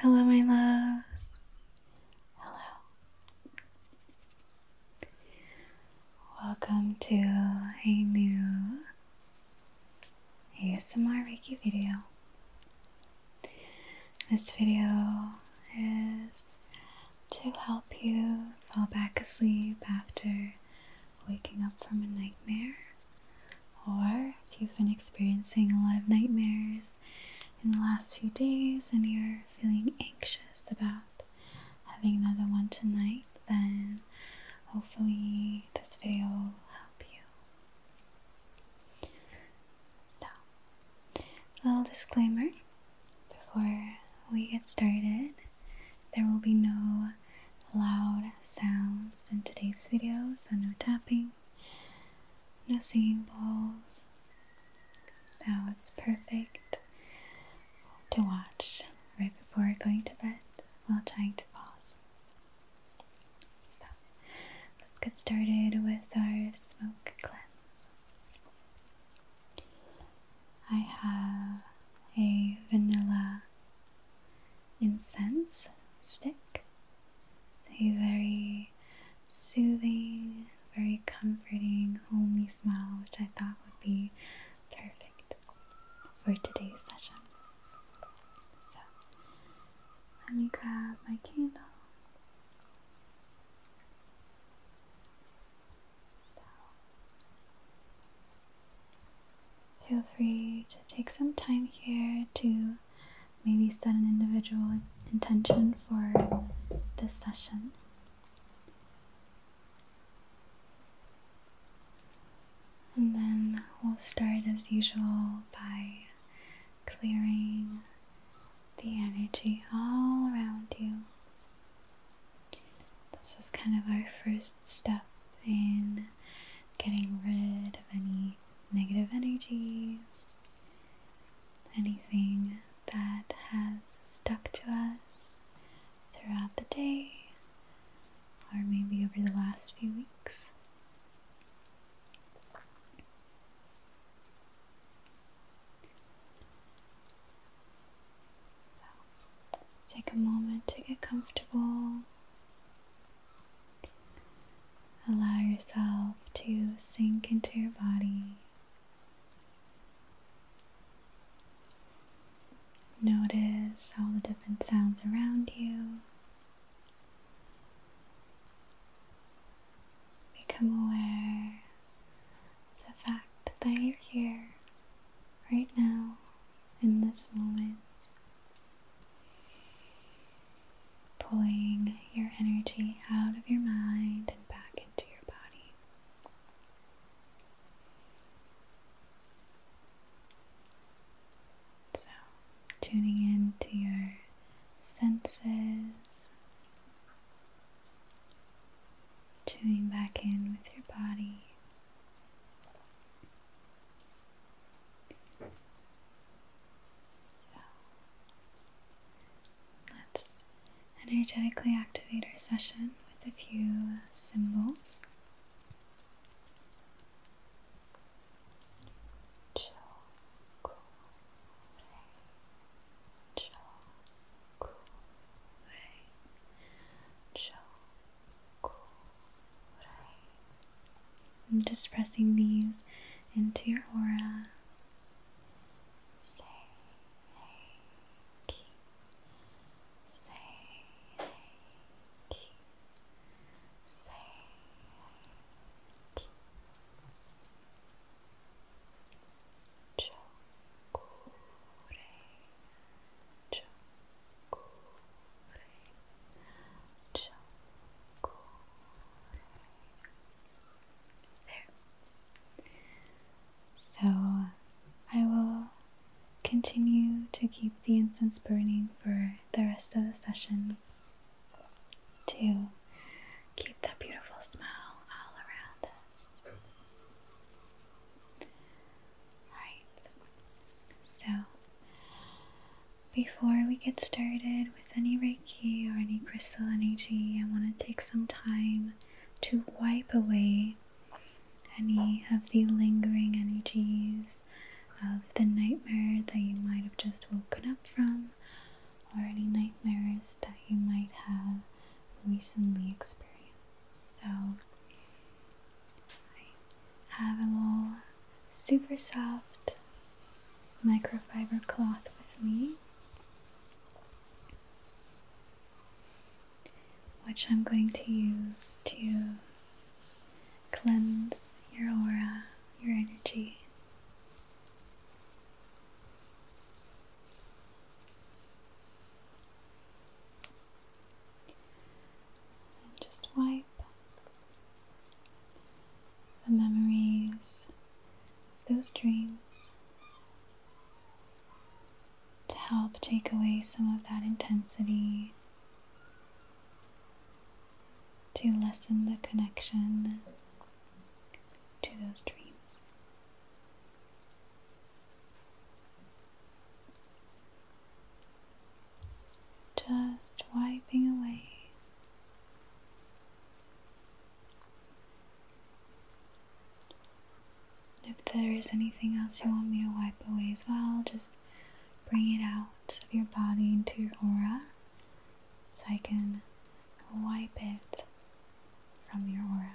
Hello, my loves. Hello. Welcome to a new ASMR Reiki video. This video is to help you fall back asleep after waking up from a nightmare. Or if you've been experiencing a lot of nightmares in the last few days and you're feeling anxious about having another one tonight, then hopefully this video will help you. So, little disclaimer before we get started, there will be no loud sounds in today's video, so no tapping, no singing balls, so it's perfect to watch right before going to bed while trying to fall asleep. So let's get started with our smoke cleanse. I have a vanilla incense stick. a very soothing, very comforting, homely smell, which I thought would be perfect for today's session. So, let me grab my candle feel free to take some time here to maybe set an individual intention for this session. And then we'll start as usual by clearing the energy all around you. This is kind of our first step in getting rid of any negative energies, anything that has stuck to us throughout the day or maybe over the last few weeks. take a moment to get comfortable. Allow yourself to sink into your body. Notice all the different sounds around you. Become aware of the fact that you're here right now in this moment pulling your energy out of your mind and back into your body. So, tuning in to your senses, tuning back in with your body let's energetically activate our session with a few symbols. I'm just pressing these into your aura. Say hey. Say hey. Say hey. Chokure. Chokure. So I will continue to keep the incense burning for the rest of the session to keep that beautiful smell all around us. Alright, so, before we get started with any Reiki or any crystal energy, I want to take some time to wipe away any of the lingering energies of the nightmare that you might have just woken up from, or any nightmares that you might have recently experienced. So, I have a little super soft microfiber cloth with me, which I'm going to use to cleanse your aura, your energy. And just wipe the memories, those dreams, to help take away some of that intensity, to lessen the connection to those dreams just wiping away if there is anything else you want me to wipe away as well, just bring it out of your body into your aura so I can wipe it from your aura.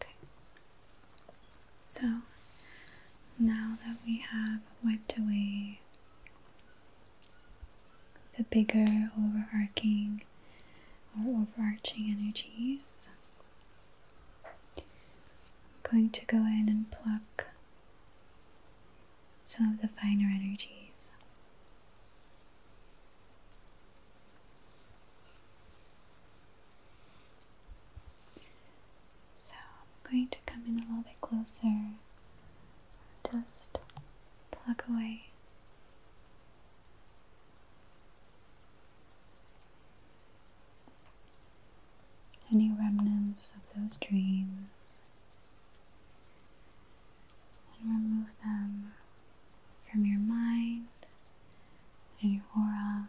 Okay. So now that we have wiped away the bigger overarching or overarching energies. I'm going to go in and pluck some of the finer energies. So I'm going to come in a little bit closer, just pluck away. Any remnants of those dreams and remove them from your mind and your aura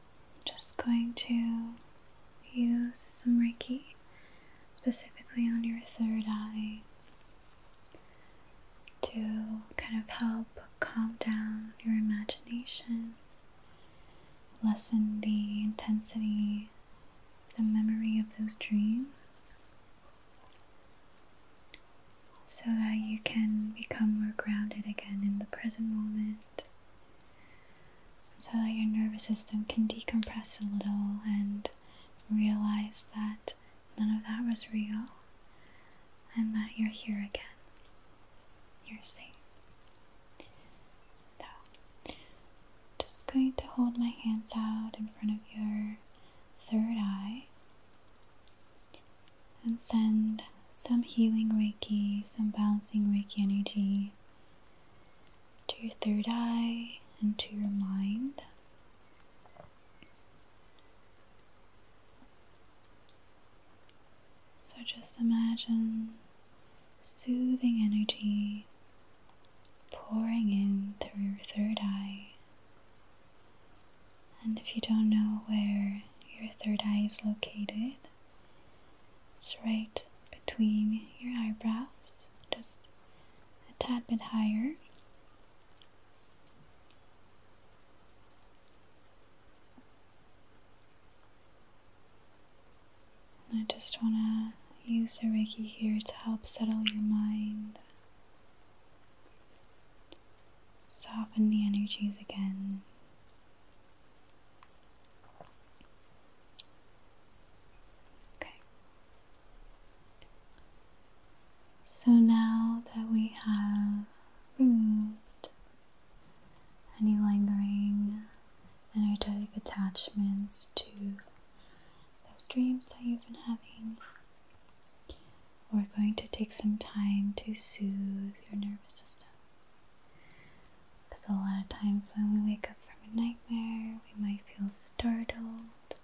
just going to use some Reiki specifically on your third eye to kind of help calm down your imagination, lessen the intensity, the memory of those dreams, so that you can become more grounded again in the present moment so that your nervous system can decompress a little and realize that none of that was real and that you're here again. You're safe. So, just going to hold my hands out in front of your third eye and send some healing Reiki, some balancing Reiki energy to your third eye, and to your mind. So just imagine soothing energy pouring in through your third eye. And if you don't know where your third eye is located, it's right between your eyebrows, just a tad bit higher. I just want to use the Reiki here to help settle your mind, soften the energies again. Okay. So now that we have removed any lingering energetic attachments to those dreams that you've been having, we're going to take some time to soothe your nervous system. Because a lot of times when we wake up from a nightmare, we might feel startled,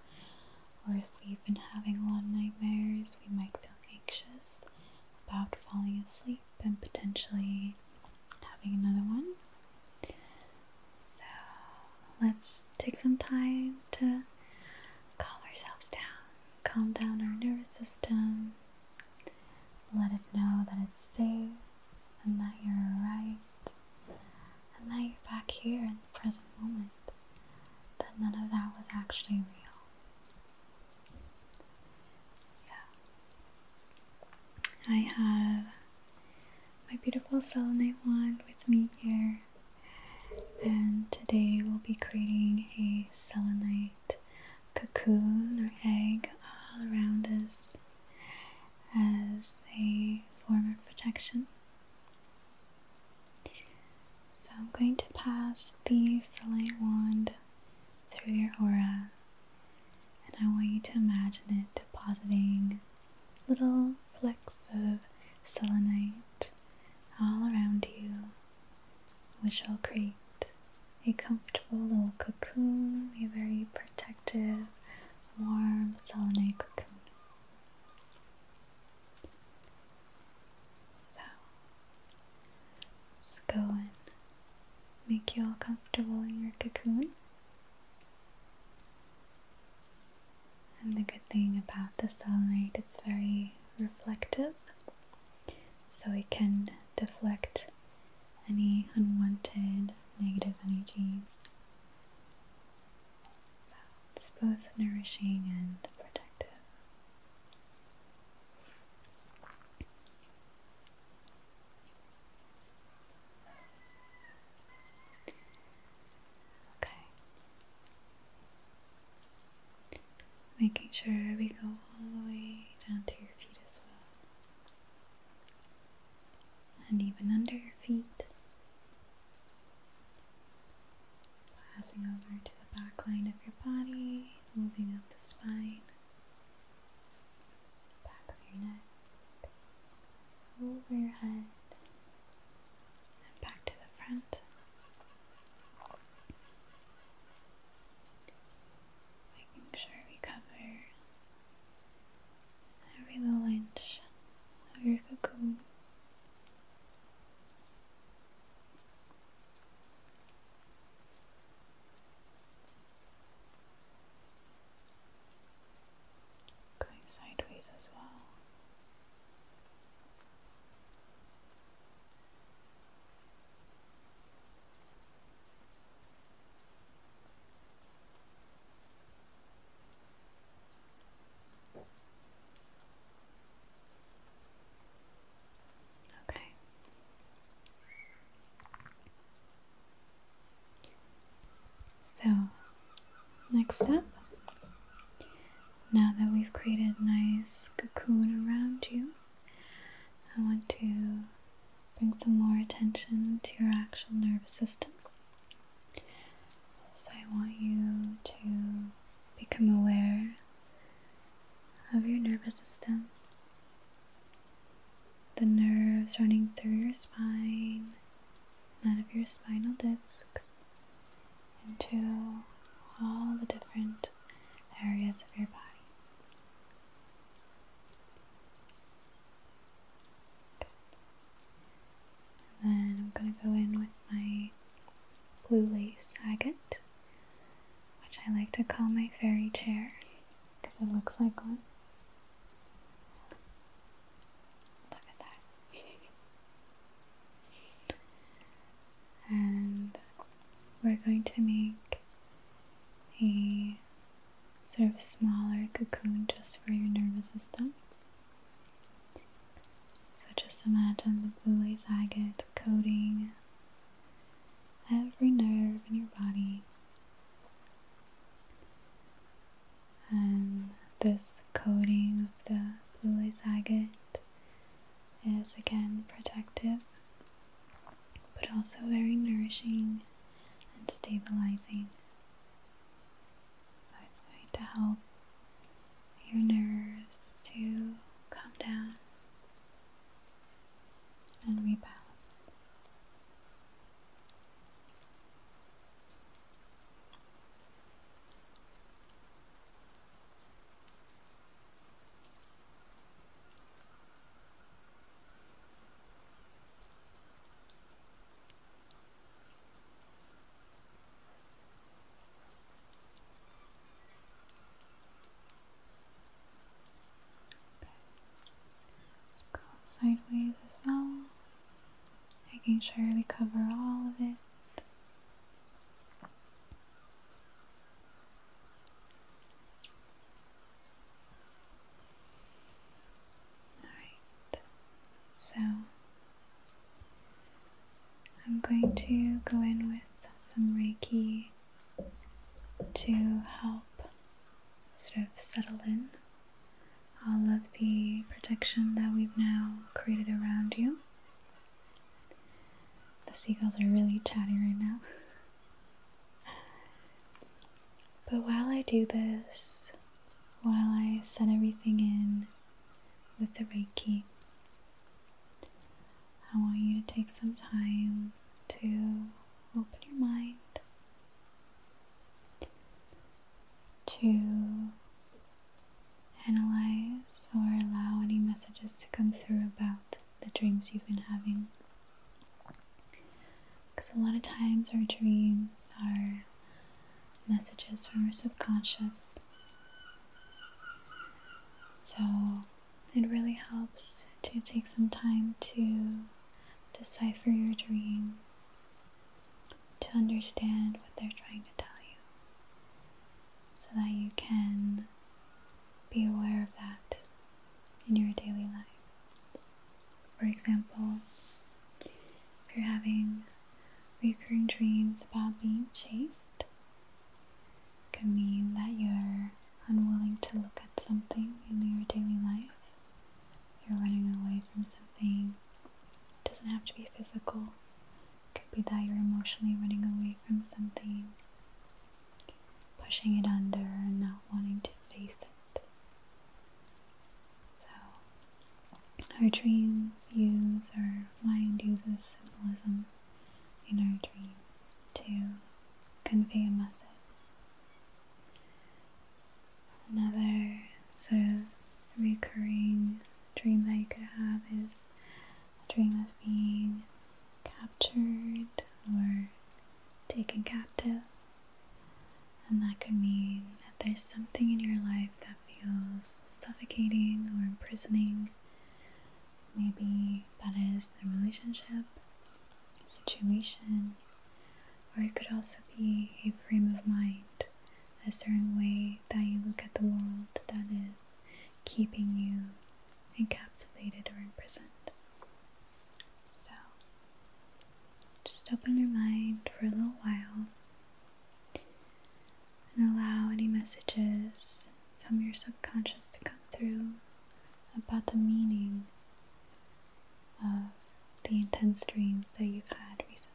or if we've been having a lot of nightmares, we might feel anxious about falling asleep and potentially having another one. So let's take some time to calm ourselves down, calm down our nervous system, let it know that it's safe and that you're right and that you're back here in the present moment, that none of that was actually real. So, I have my beautiful selenite wand with me here, and today we'll be creating a selenite cocoon or egg all around us as a form of protection. So I'm going to pass the selenite wand through your aura and I want you to imagine it depositing little flecks of selenite all around you, which will create a comfortable little cocoon, a very protective, warm, selenite cocoon. So, let's go and make you all comfortable in your cocoon. And the good thing about the sunlight, it's very reflective, so it can deflect any unwanted negative energies. It's both nourishing and protective. Okay. Making sure we go all the way down to your feet as well and even under your feet, passing over to the back line of your body, moving up the spine, back of your neck, over your head, and back to the front making sure we cover every little inch of your cocoon. Going sideways as well. Okay. So, next up, now that we've created a nice cocoon around you, I want to Bring some more attention to your actual nervous system. So, I want you to become aware of your nervous system, the nerves running through your spine, out of your spinal discs, into all the different areas of your body. And then I'm going to go in with my blue lace agate, which I like to call my fairy chair because it looks like one. Look at that. and we're going to make a sort of smaller cocoon just for your nervous system. So just imagine the blue lace agate coating every nerve in your body. And this coating of the blue lace agate is again protective but also very nourishing and stabilizing. So it's going to help your nerves to calm down and rebalance. Let's go sideways as well, making sure we cover all of it. Alright, so I'm going to go in with some Reiki to help sort of settle in all of the protection that we've now created around you. The seagulls are really chatty right now. But while I do this, while I send everything in with the Reiki, I want you to take some time to open your mind to analyze or allow any messages to come through about the dreams you've been having. Because a lot of times our dreams are messages from our subconscious. So it really helps to take some time to decipher your dreams, to understand what they're trying to tell you, so that you can be aware of that in your daily life. For example, if you're having recurring dreams about being chased, it could mean that you're unwilling to look at something in your daily life. You're running away from something. It doesn't have to be physical. It could be that you're emotionally running away from something pushing it under and not wanting to face it. So, our dreams use, our mind uses symbolism in our dreams to convey a message. Another sort of recurring dream that you could have is a dream of being captured or taken captive. And that could mean that there's something in your life that feels suffocating or imprisoning. Maybe that is the relationship, situation, or it could also be a frame of mind, a certain way that you look at the world that is keeping you encapsulated or imprisoned. So, just open your mind for a little while and allow any messages from your subconscious to come through about the meaning of the intense dreams that you've had recently.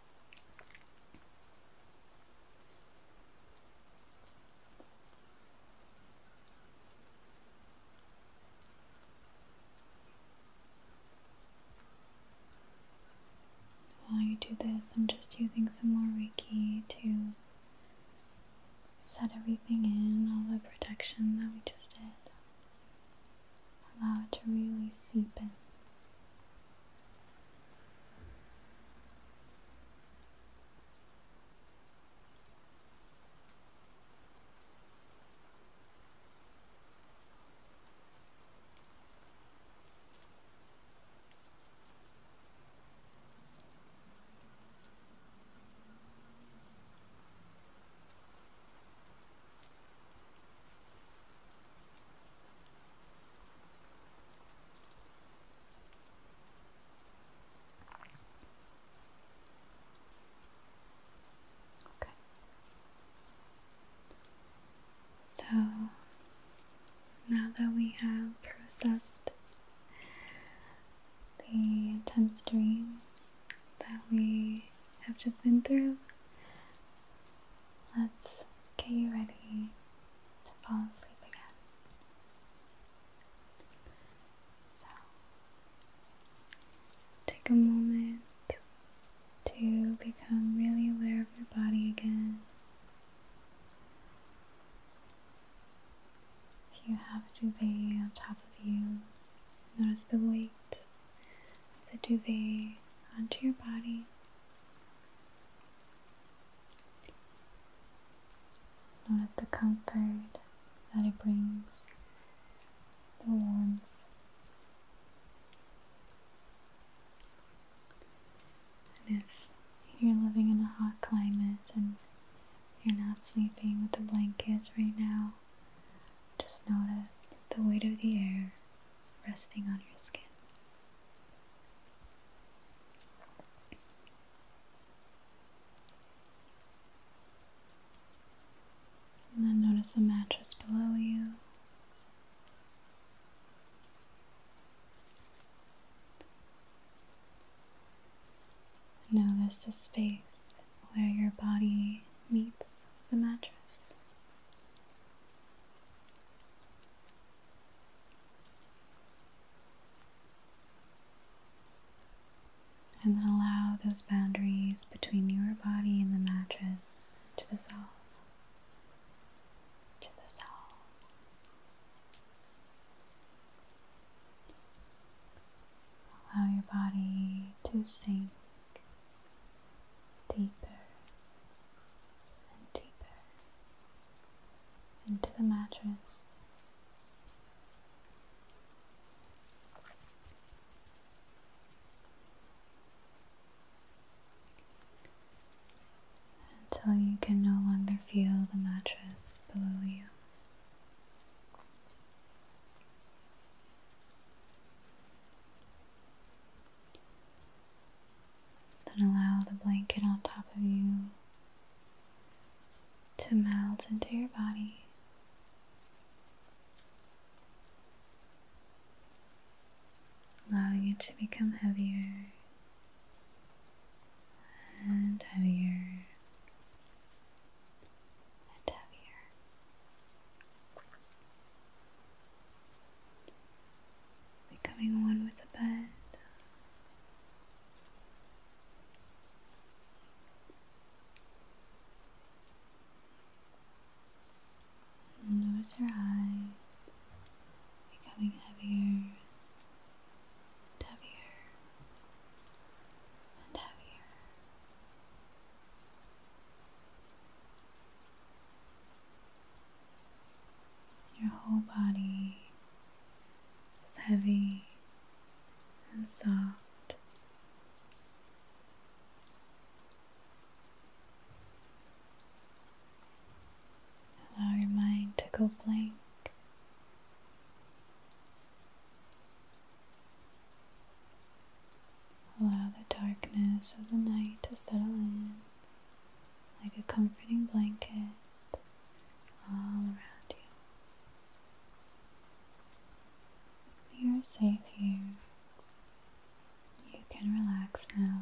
While you do this, I'm just using some more Reiki to set everything in, all the protection that we just did. Allow it to really seep in. Okay. So now that we have processed the intense dreams that we have just been through, let's get you ready to fall asleep again. So, take a moment to become really aware of your body again. If you have a duvet on top of you, notice the weight of the duvet onto your body. Notice the comfort that it brings, the warmth. And if you're living in a hot climate and you're not sleeping with a blanket right now, just notice the weight of the air resting on your skin. And then notice the mattress below you. Notice the space where your body meets the mattress. And then allow those boundaries between your body and the mattress to dissolve. To dissolve. Allow your body to sink deeper and deeper into the mattress. Until you can no longer feel the mattress below you. Then allow the blanket on top of you to melt into your body. Allowing it to become heavier and heavier and heavier becoming one with the bed. And notice your eyes becoming heavier heavier and heavier. Your whole body is heavy and soft. Allow your mind to go blank. Allow the darkness of the night to settle in like a comforting blanket all around you. You are safe here. You can relax now.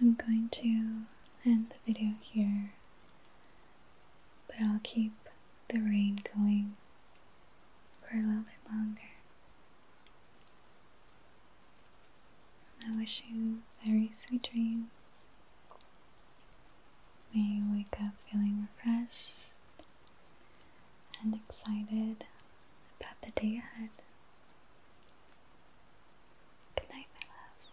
I'm going to end the video here, but I'll keep the rain going for a little bit longer. I wish you very sweet dreams May wake up feeling refreshed and excited about the day ahead. Good night, my loves.